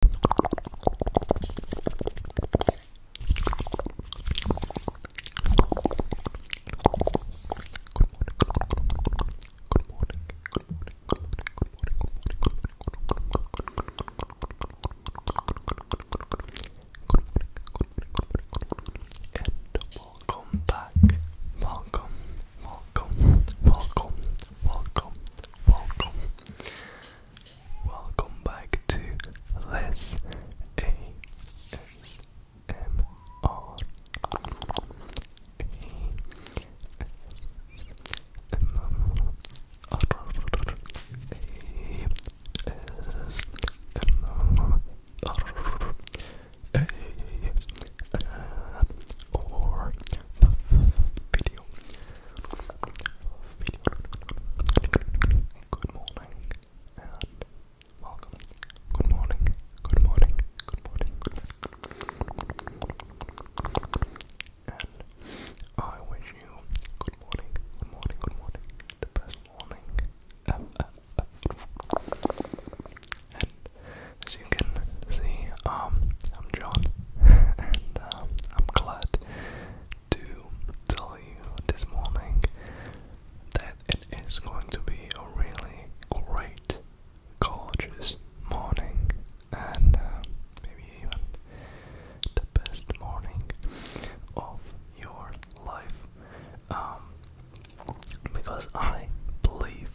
Welcome, welcome, welcome, welcome, welcome. Welcome back to Les video. Video. Good morning and welcome. Good morning. Good morning. Good morning. And I wish you good morning. Good morning. Good morning. The best morning as you can see, um, I'm John, and um, I'm glad to tell you this morning that it is going to be a really great, gorgeous morning, and uh, maybe even the best morning of your life, um, because I believe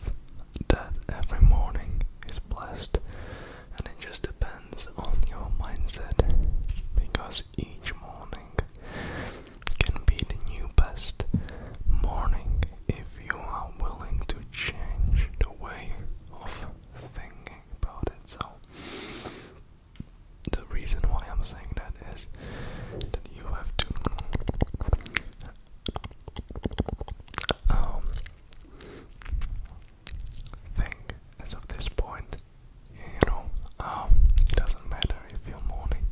that every morning is blessed, and it just depends on your mindset because each morning can be the new best morning if you are willing to change the way of thinking about it. So, the reason why I'm saying that is that you have to um, thing as of this point. You know, um, it doesn't matter if your morning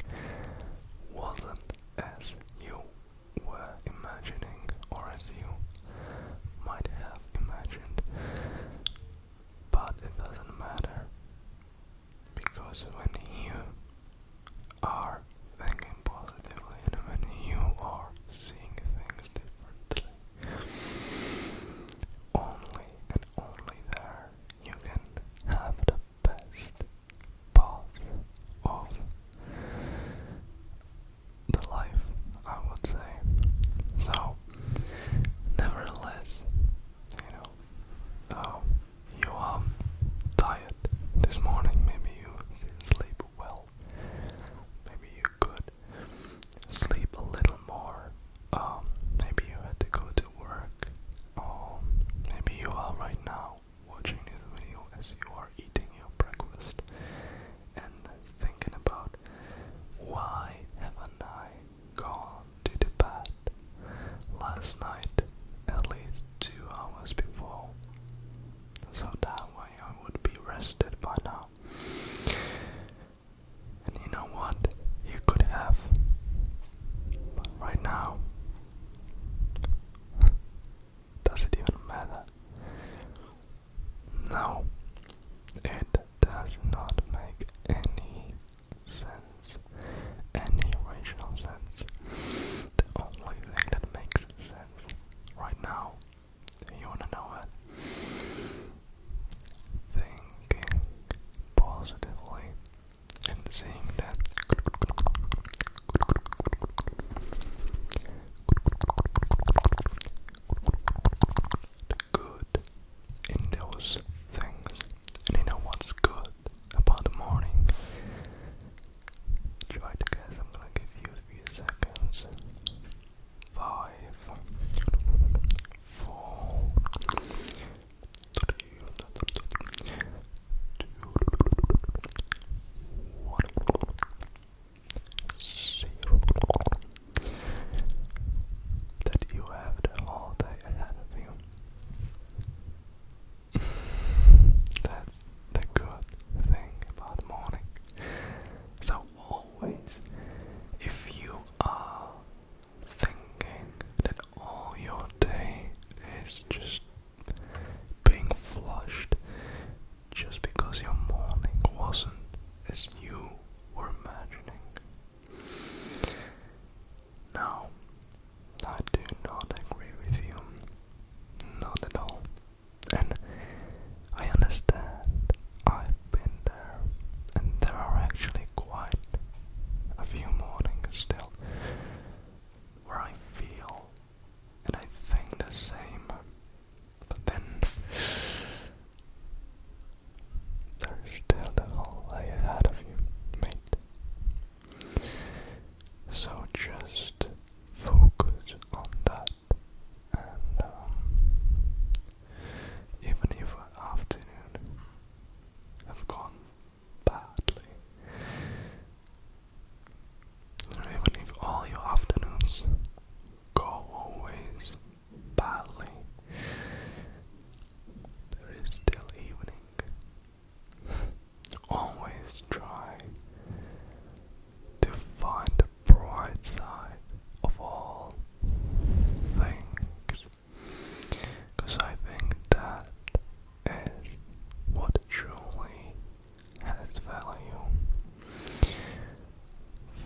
wasn't as you were imagining or as you might have imagined, but it doesn't matter because when you are thinking positively and when you are seeing things differently, only and only there you can have the best part of the life, I would say. So, nevertheless, you know, um, you are um, tired this morning, maybe you didn't sleep well, maybe you could sleep a little more, um, maybe you had to go to work, or um, maybe you are right now watching this video as you are eating your breakfast and thinking about why haven't I gone to the last night, at least two hours before, so that way I would be rested by now. And you know what? You could have. But right now, does it even matter? No, it does not make any sense, any rational sense. The only thing that makes sense right now, you wanna know what? Thinking positively and seeing that. good in those things and you know what's good about the morning? Try to guess, I'm gonna give you a few seconds. Five, four, three, two, one, zero that you have the whole day ahead of you. That's the good thing about morning. So always, if you are thinking that all your day is just being flushed just because your morning wasn't as you were imagining no, I do not agree with you. Not at all. And I understand, I've been there, and there are actually quite a few mornings still where I feel and I think the same. But then there's still a whole way had of you, mate. So just focus on that, and um, even if an afternoon have gone badly, even if all your afternoons go always badly. There is still evening. Always try to find the bright side of all things. Because I think that is what truly has value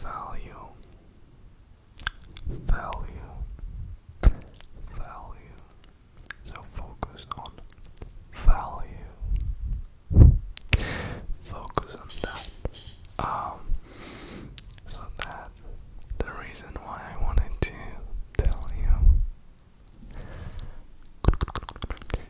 value, value, value. So focus on value. Focus on that. Um, so that the reason why I wanted to tell you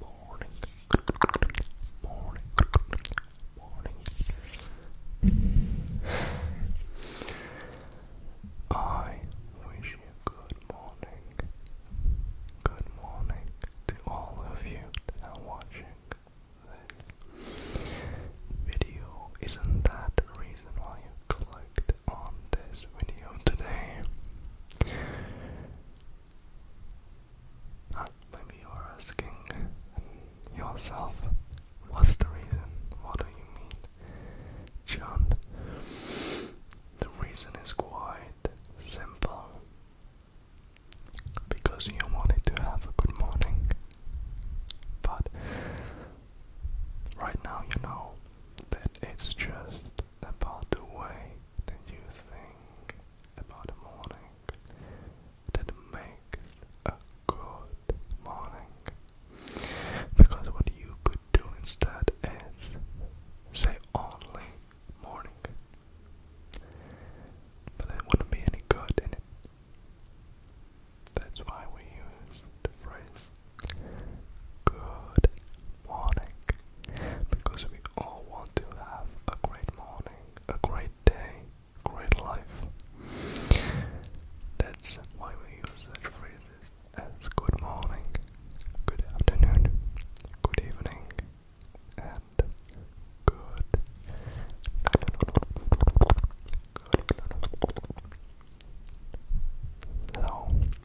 morning, morning, morning. I wish you good morning, good morning to all of you that are watching this video. Isn't that reason why you clicked on this video today? That maybe you're asking yourself, what's the reason? What do you mean, John? The reason is quite simple. Because you wanted to have a good morning. But right now you know that it's just about the way that you think about a morning that makes a good morning. Because what you could do instead is say only morning. But that wouldn't be any good in it. That's why we use the phrase good morning because we all want to have a great morning, a great day, great life. That's why we use such phrases as good morning, good afternoon, good evening, and good. No, no,